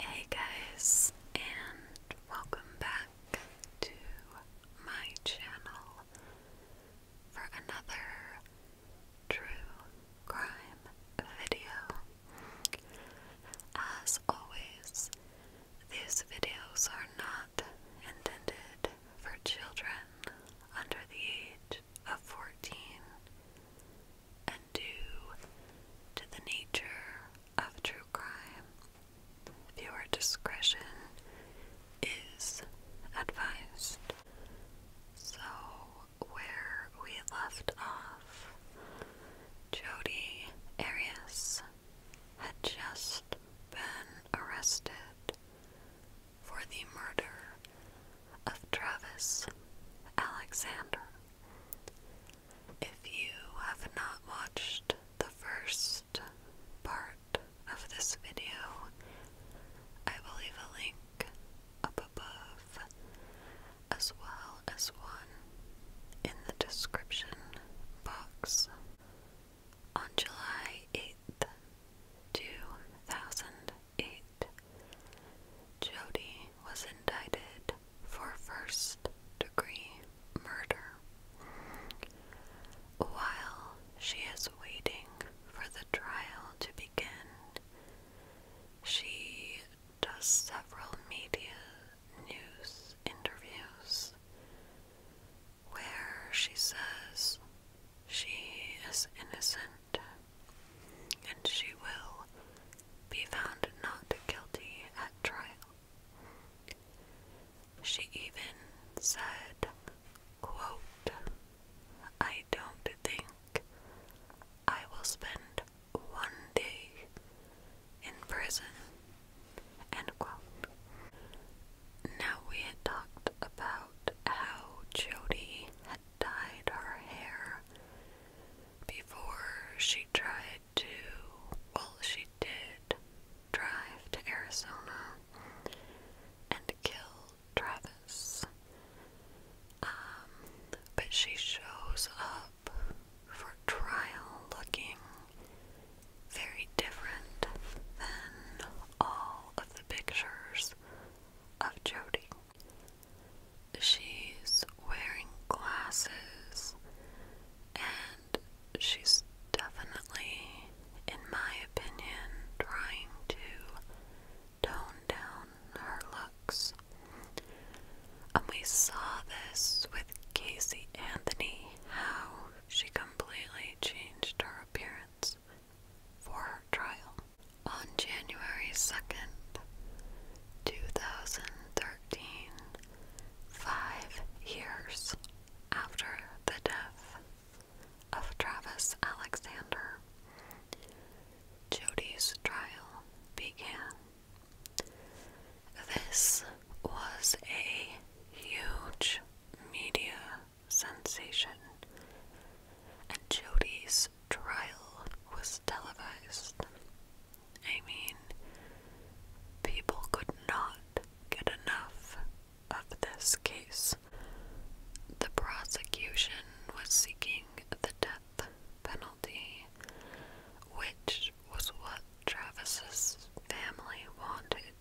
Hey guys, and welcome back to my channel for another true crime video. As always, these videos are not intended for children under the age of 14 and due to the nature of true crime, viewer discretion is advised. So, where we left off, Jody Arias had just been arrested for the murder of Travis Alexander. If you have not watched the first part of this video, I will leave a link up above as well as one in the description box. On July 8th, 2008, Jody was indicted for first degree murder. While she is waiting for the trial to begin, she does several media news interviews where she says she is innocent and she will be found not guilty at trial. She even said, I don't think I will spend one day in prison. Now we had talked about how Jody had dyed her hair before she tried to, well, she did drive to Arizona and kill Travis. Um, but she shows up for trial looking very different than all of the pictures of Jody. She's wearing glasses and she's definitely, in my opinion, trying to tone down her looks. And we saw this with Casey Anthony, how she completely changed her appearance for her trial. On January 2nd, 2013, Five years after the death of Travis Alexander, Jody's trial began. This was a huge media sensation, and Jody's trial was televised. I mean, people could not get enough of this case. The prosecution was seeking the death penalty, which was what Travis's family wanted.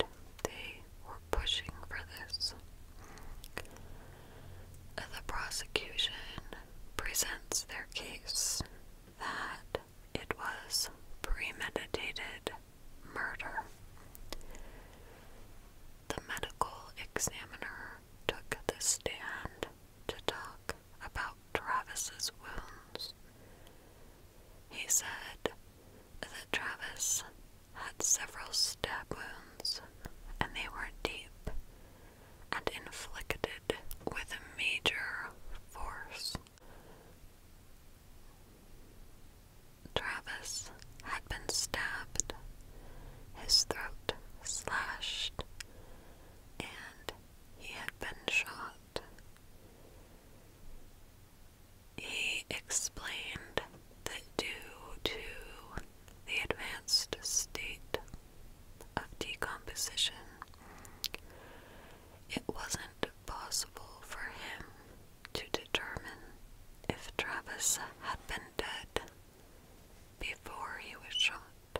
They were pushing for this. The prosecution presents their case that it was premeditated murder. The medical examiner took the stand to talk about Travis's wounds. He said that Travis had several stab wounds and they were deep and inflicted with a major force. Travis had been stabbed, his throat slashed, and he had been shot. He explained that due to the advanced state of decomposition, it wasn't possible for him to determine if Travis had been dead before he was shot.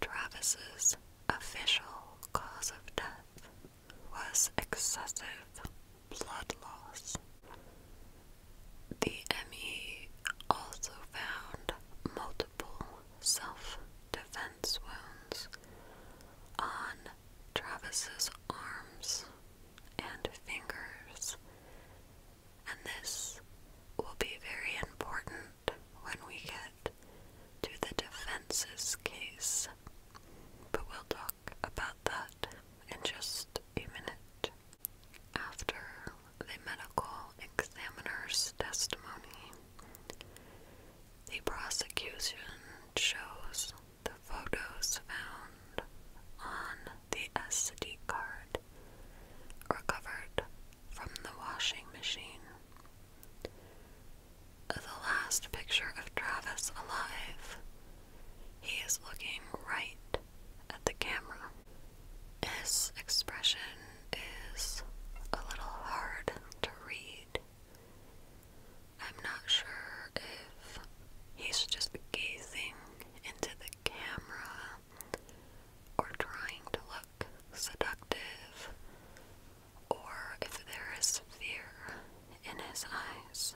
Travis's official cause of death was excessive blood loss. The ME also found multiple multiple self defense wounds on Travis's arms and fingers, and this will be very important when we get to the defense's case, but we'll talk about that in just a minute. After the medical examiner's testimony, the prosecution shows the photos found on the SD card recovered from the washing machine. The last picture of Travis alive, he is looking right at the camera. His expression is a little hard to read. I'm not sure if he's just gazing into the camera or trying to look seductive or if there is fear in his eyes.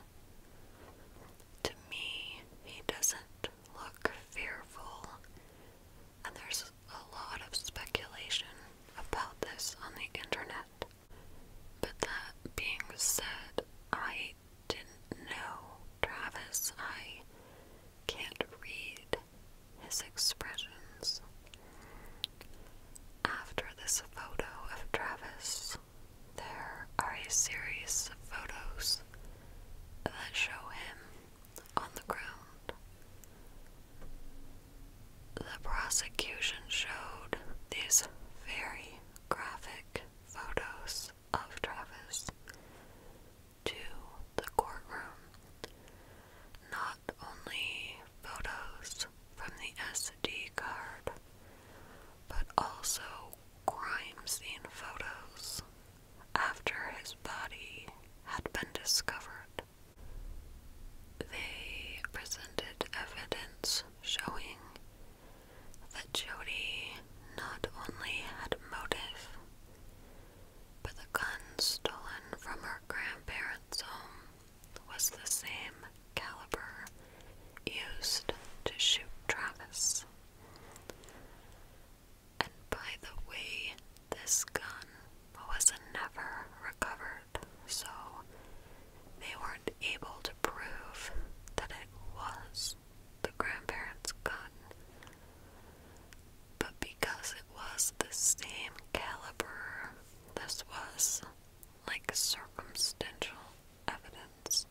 To me, he doesn't look fearful and there's a lot of speculation about this on the internet. But that being said, I didn't know Travis. I can't read his expressions. After this photo of Travis, there are a series of photos that show him on the ground the prosecution showed these very graphic photos of Travis to the courtroom. Not only photos from the SD card, but also crime scene photos after his body had been discovered they presented evidence showing that Jody not only had motive, but the gun stolen from her grandparents' home was the same caliber used to shoot Travis. And by the way this gun was never recovered, so they weren't able to prove that it was the grandparents' gun. But because it was the same caliber, this was like circumstantial evidence.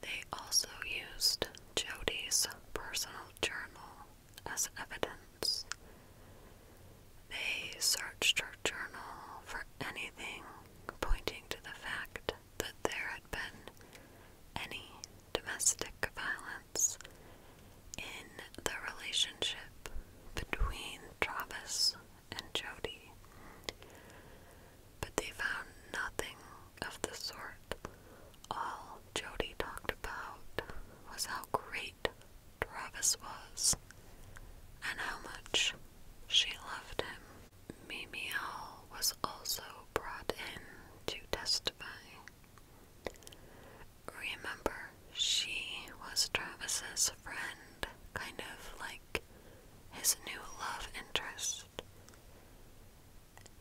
They also used Jody's personal journal as evidence. They searched her journal for anything pointing to the fact that there had been any domestic violence in the relationship between Travis and Jody, but they found nothing of the sort. All Jody talked about was how great Travis was and how much she loved him. Mimi Hall was also brought in to testify. Remember, she was Travis's friend, kind of like his new love interest.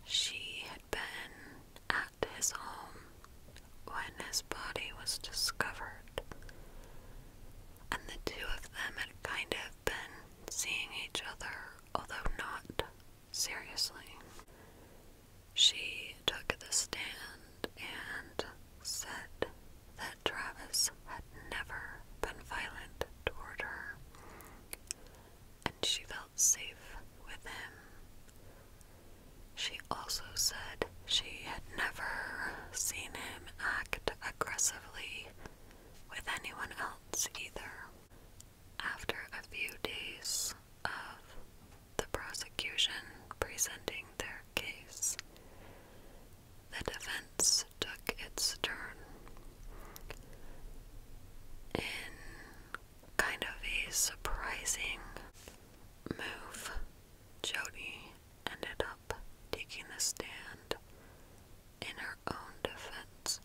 She had been at his home when his body was discovered, and the two of them had kind of been seeing each other, although not seriously. She took the stand and said that Travis had never been violent toward her, and she felt safe with him. She also said she had never seen him act aggressively with anyone else either. After a few days of the prosecution presenting their case, the defense took its turn in kind of a surprising move. Jody ended up taking the stand in her own defense,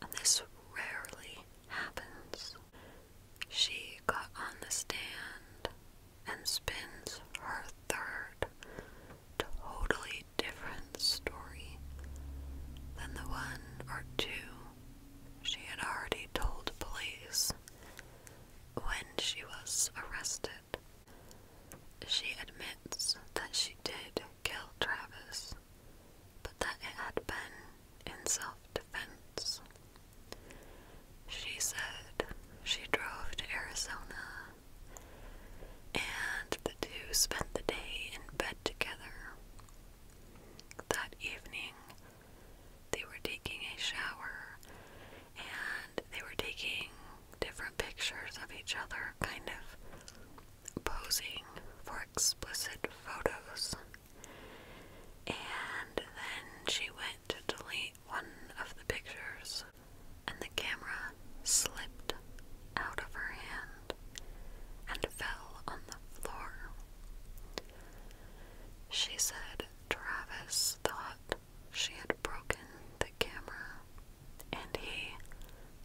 and this rarely happens. She got on the stand and spins her third, totally different story than the one or two she had already told police when she was arrested. She admits that she did kill Travis, but that it had been in self defense. She said she drove to Arizona and the two spent the day in bed together. That evening, they were taking a shower and they were taking different pictures of each other, kind of posing for explicit photos. And then she went to delete one of the pictures, and the camera slipped out of her hand and fell on the floor. She said, Travis thought she had broken the camera and he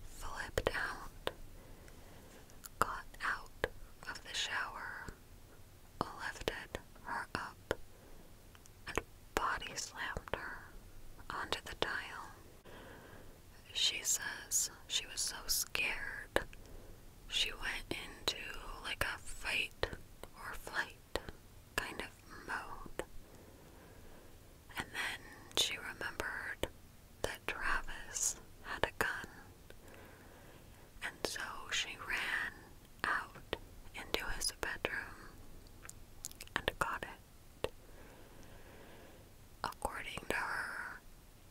flipped out, got out of the shower, lifted her up, and body slammed her onto the tile. She says she was so scared she went into like a fight or flight kind of mode. And then she remembered that Travis had a gun. And so she ran out into his bedroom and got it. According to her,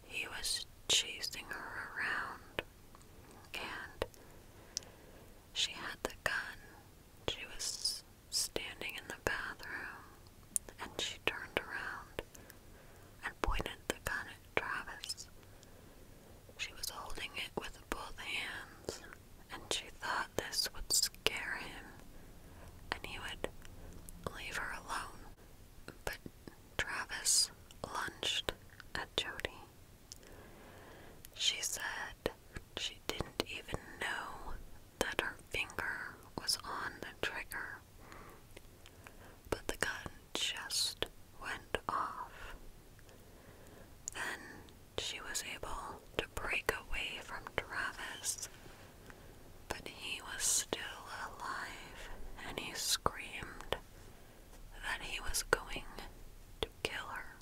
he was chasing her around, and she had the gun. She was standing in the bathroom and she turned around and pointed the gun at Travis. She was holding it with both hands and she thought this would scare him and he would leave her alone. But Travis lunged at Jody she said she didn't even know that her finger was on the trigger, but the gun just went off. Then she was able to break away from Travis, but he was still alive and he screamed that he was going to kill her.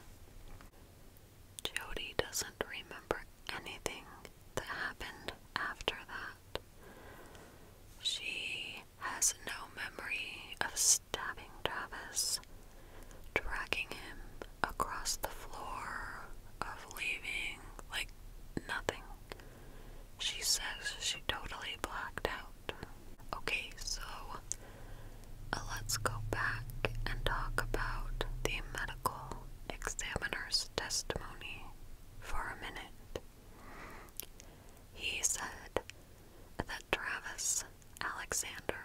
Jody doesn't remember anything that happened after that. She has no memory of stabbing Travis, dragging him across the floor, of leaving, like nothing. She says she totally blacked out. Okay, so uh, let's go back and talk about the medical examiner's testimony for a minute. He said that Travis Alexander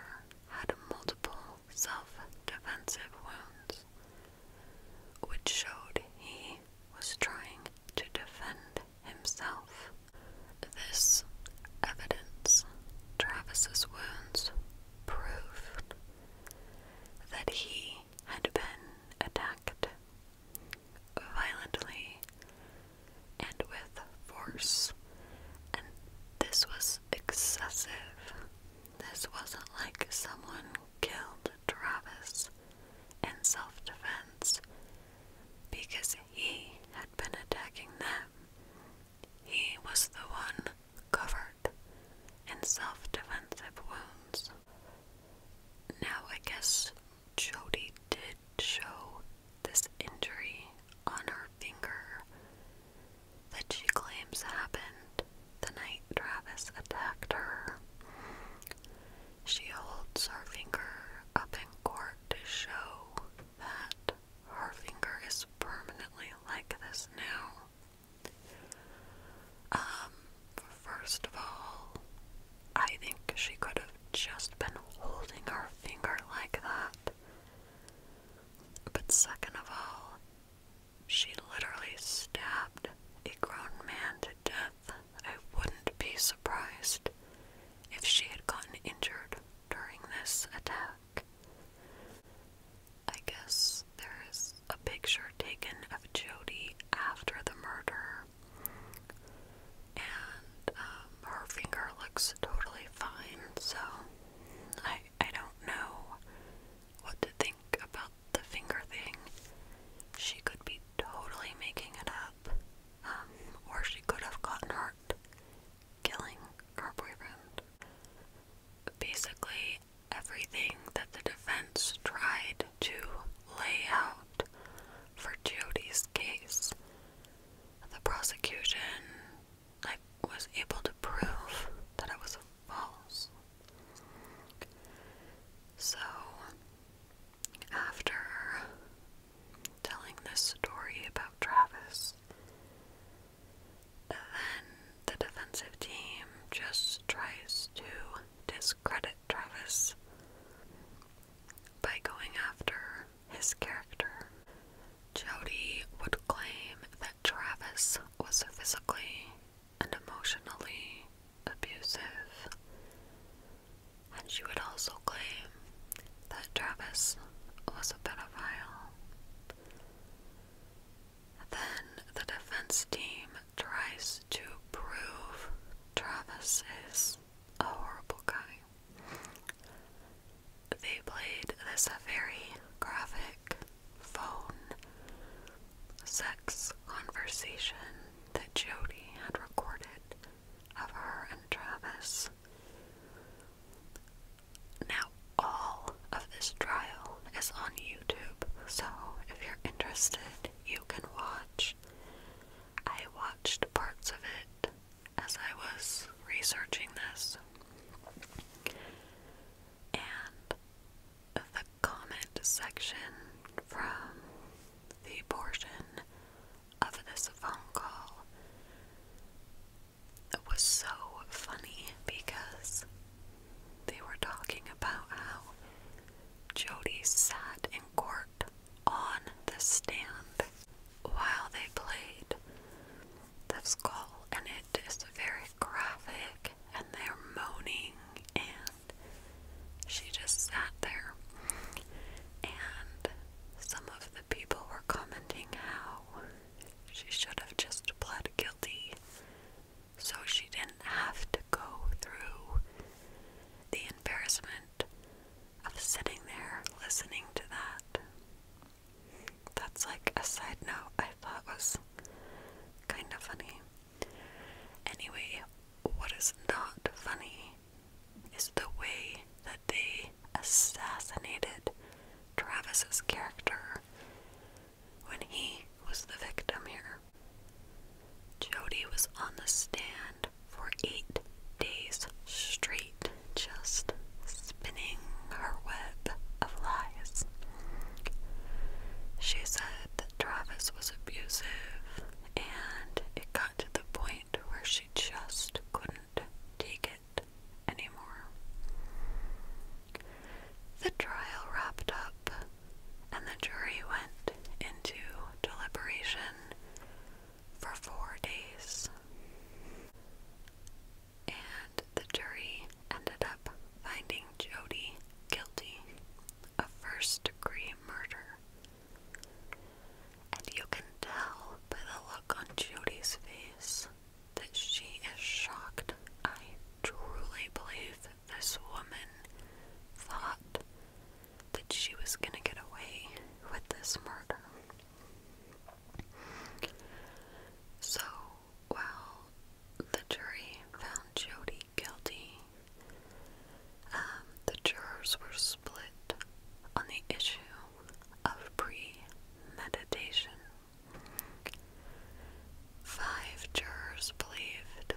had multiple self defensive wounds, which showed he was trying to defend himself. This evidence, Travis's wounds, proved that he had been attacked violently and with force, this was excessive. This wasn't like someone killed Travis in self defense because he had been attacking them. He was the one covered in self defensive wounds. Now, I guess Jody did show this injury on her finger that she claims happened the night Travis attacked her. She holds her finger up in court to show that her finger is permanently like this now. Um, first of all, I think she could have just been holding her finger like that. But second of all, she literally stabbed a grown man to death. I wouldn't be surprised if she had gotten injured during this attack. I guess there's a picture taken of Jody after the murder, and um, her finger looks totally fine, so I, I don't know what to think about the finger thing. She could be totally making it up, um, or she could have gotten hurt killing her boyfriend. Basically, everything that the defense tried to lay out for Jody's case, the prosecution was able to prove that it was false. So, after telling this story about Travis, then the defensive team just tries to discredit Travis by going after his character. Jody would claim that Travis was physically and emotionally abusive, and she would also claim that Travis was a pedophile. Then the defense team tries to prove Travis is a horrible guy. They played this very graphic phone sex conversation that Jody had recorded of her and Travis. Now, all of this trial is on YouTube, so if you're interested, you can watch. I watched parts of it as I was researching this, and the comment section from the portion of this phone call was so funny because they were talking about how Jody sat in court on the stand while they played the skull, and it is very graphic, and they're moaning, and she just sat there. And some of the people were commenting how she should have just pled guilty so she didn't have to go through the embarrassment of sitting there listening to that. That's like a side note I thought was kind of funny. Anyway, what is not funny is the way that they assassinated Travis's character when he was the victim here. Jody was on the stand for eight days straight, just spinning her web of lies. She said that Travis was abusive, and it got to the point where she just couldn't take it anymore. The trial wrapped up, and the jury went into deliberation for four days. And the jury ended up finding Jody guilty of first degree murder. And you can tell by the look on Jody's face that she is shocked. I truly believe that this woman thought that she was going to get away with this murder. So, while the jury found Jody guilty, um, the jurors were split on the issue of premeditation. Five jurors believed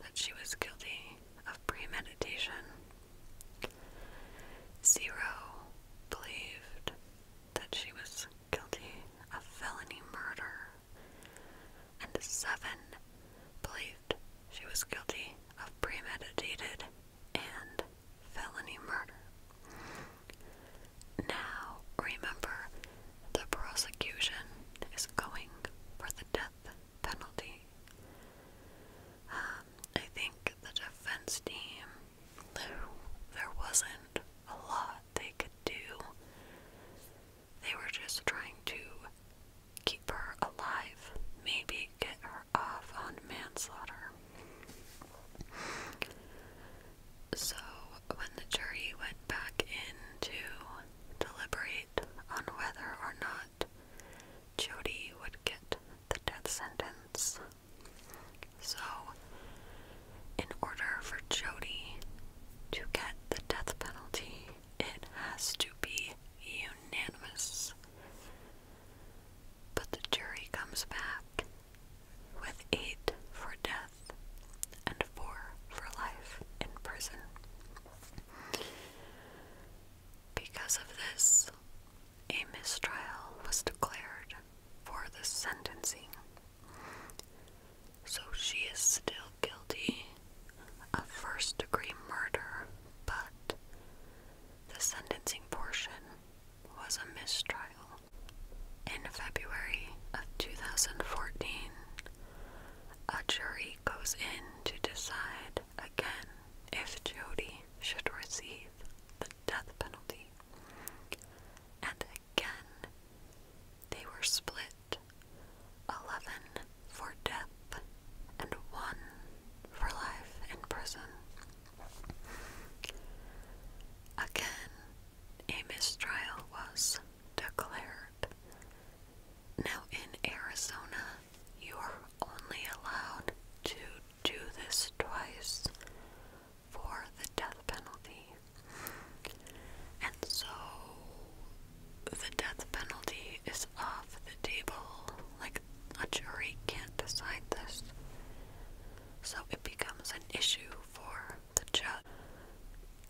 that she was guilty of premeditation. Zero believed that she was guilty of felony murder, and seven believed she was guilty of premeditated and felony murder. Now, remember, the prosecution is going for the death penalty. Um, I think the defense team, there wasn't a lot they could do. They were just trying to keep her alive, maybe get her off on manslaughter. So, when the jury went back in to deliberate on whether or not Jody would get the death sentence, so in order for Jody to get the death penalty, it has to be unanimous. But the jury comes back with eight for death and four for life in prison. Because of this, a mistrial was declared for the sentencing. So she is still guilty of first degree murder, but the sentencing portion was a mistrial. In February of 2014, a jury goes in to decide again if Jody should receive the death penalty. And again, they were split 11 for death and 1 for life in prison. Again, a mistrial was declared. Now, in Arizona, you are only allowed to do this twice for the death penalty. And so the death penalty is off the table. Like, a jury can't decide this so it becomes an issue for the judge.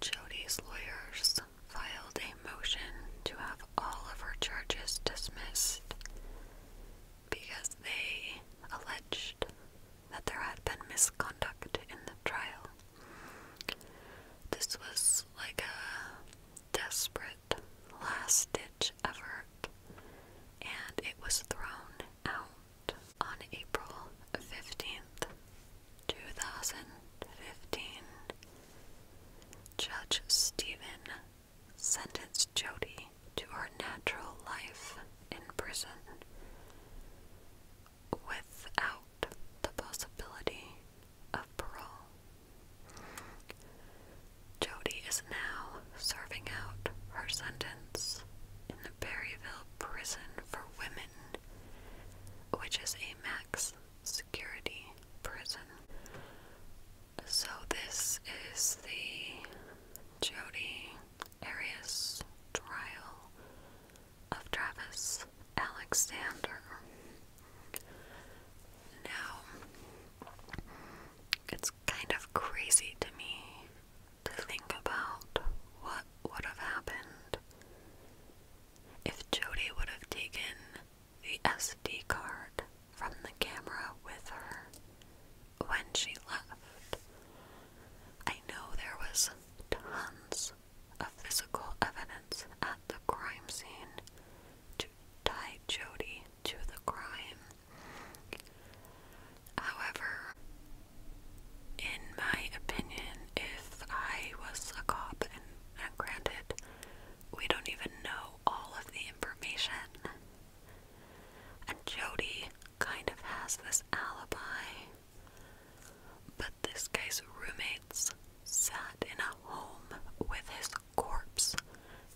Jody's lawyers filed a motion to have all of her charges dismissed because they alleged that there had been misconduct in the trial. This was like a desperate last ditch effort, and it was thrown out on April 15th, 2015. Judge Stephen sentenced Jody to her natural life in prison without the possibility of parole. Jody is now serving out her sentence in the Berryville prison for women, which is a max security prison. So, this is the Jody Arias trial of Travis Alexander. Now, it's kind of crazy to me to think about what would have happened if Jody would have taken the SD card from the camera with her when she left. I know there was tons of physical evidence at the crime scene to tie Jody to the crime. However, in my opinion, if I was a cop, and granted, we don't even know all of the information, and Jody kind of has this alibi, but this guy's roommates sat in a home with his corpse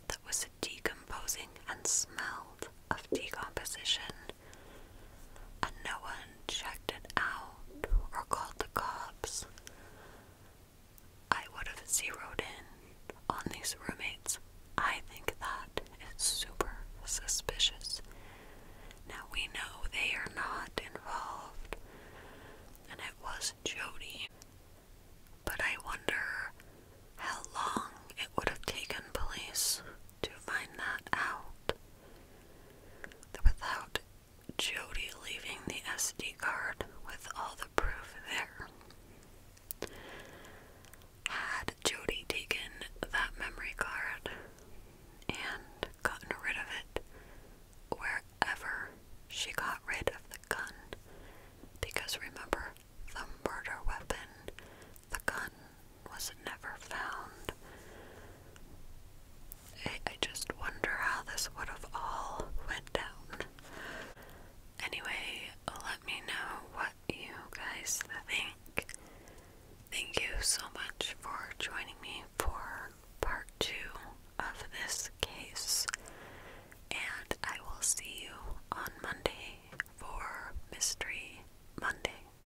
that was decomposing and smelled of decomposition, and no one checked it out or called the cops, I would have zeroed in on these roommates. I think that is super suspicious. Now we know they are not involved, and it was Jody. But I wonder how long it would have taken police to find that out. without Jody leaving the SD card with all the proof there, had Jody taken that memory card and gotten rid of it wherever she got rid of the gun, because remember, the murder weapon the gun was never found. I, just wonder how this would have all went down. Anyway, let me know what you guys think. Thank you so much for joining me for part two of this case, and I will see you on Monday for Mystery Monday.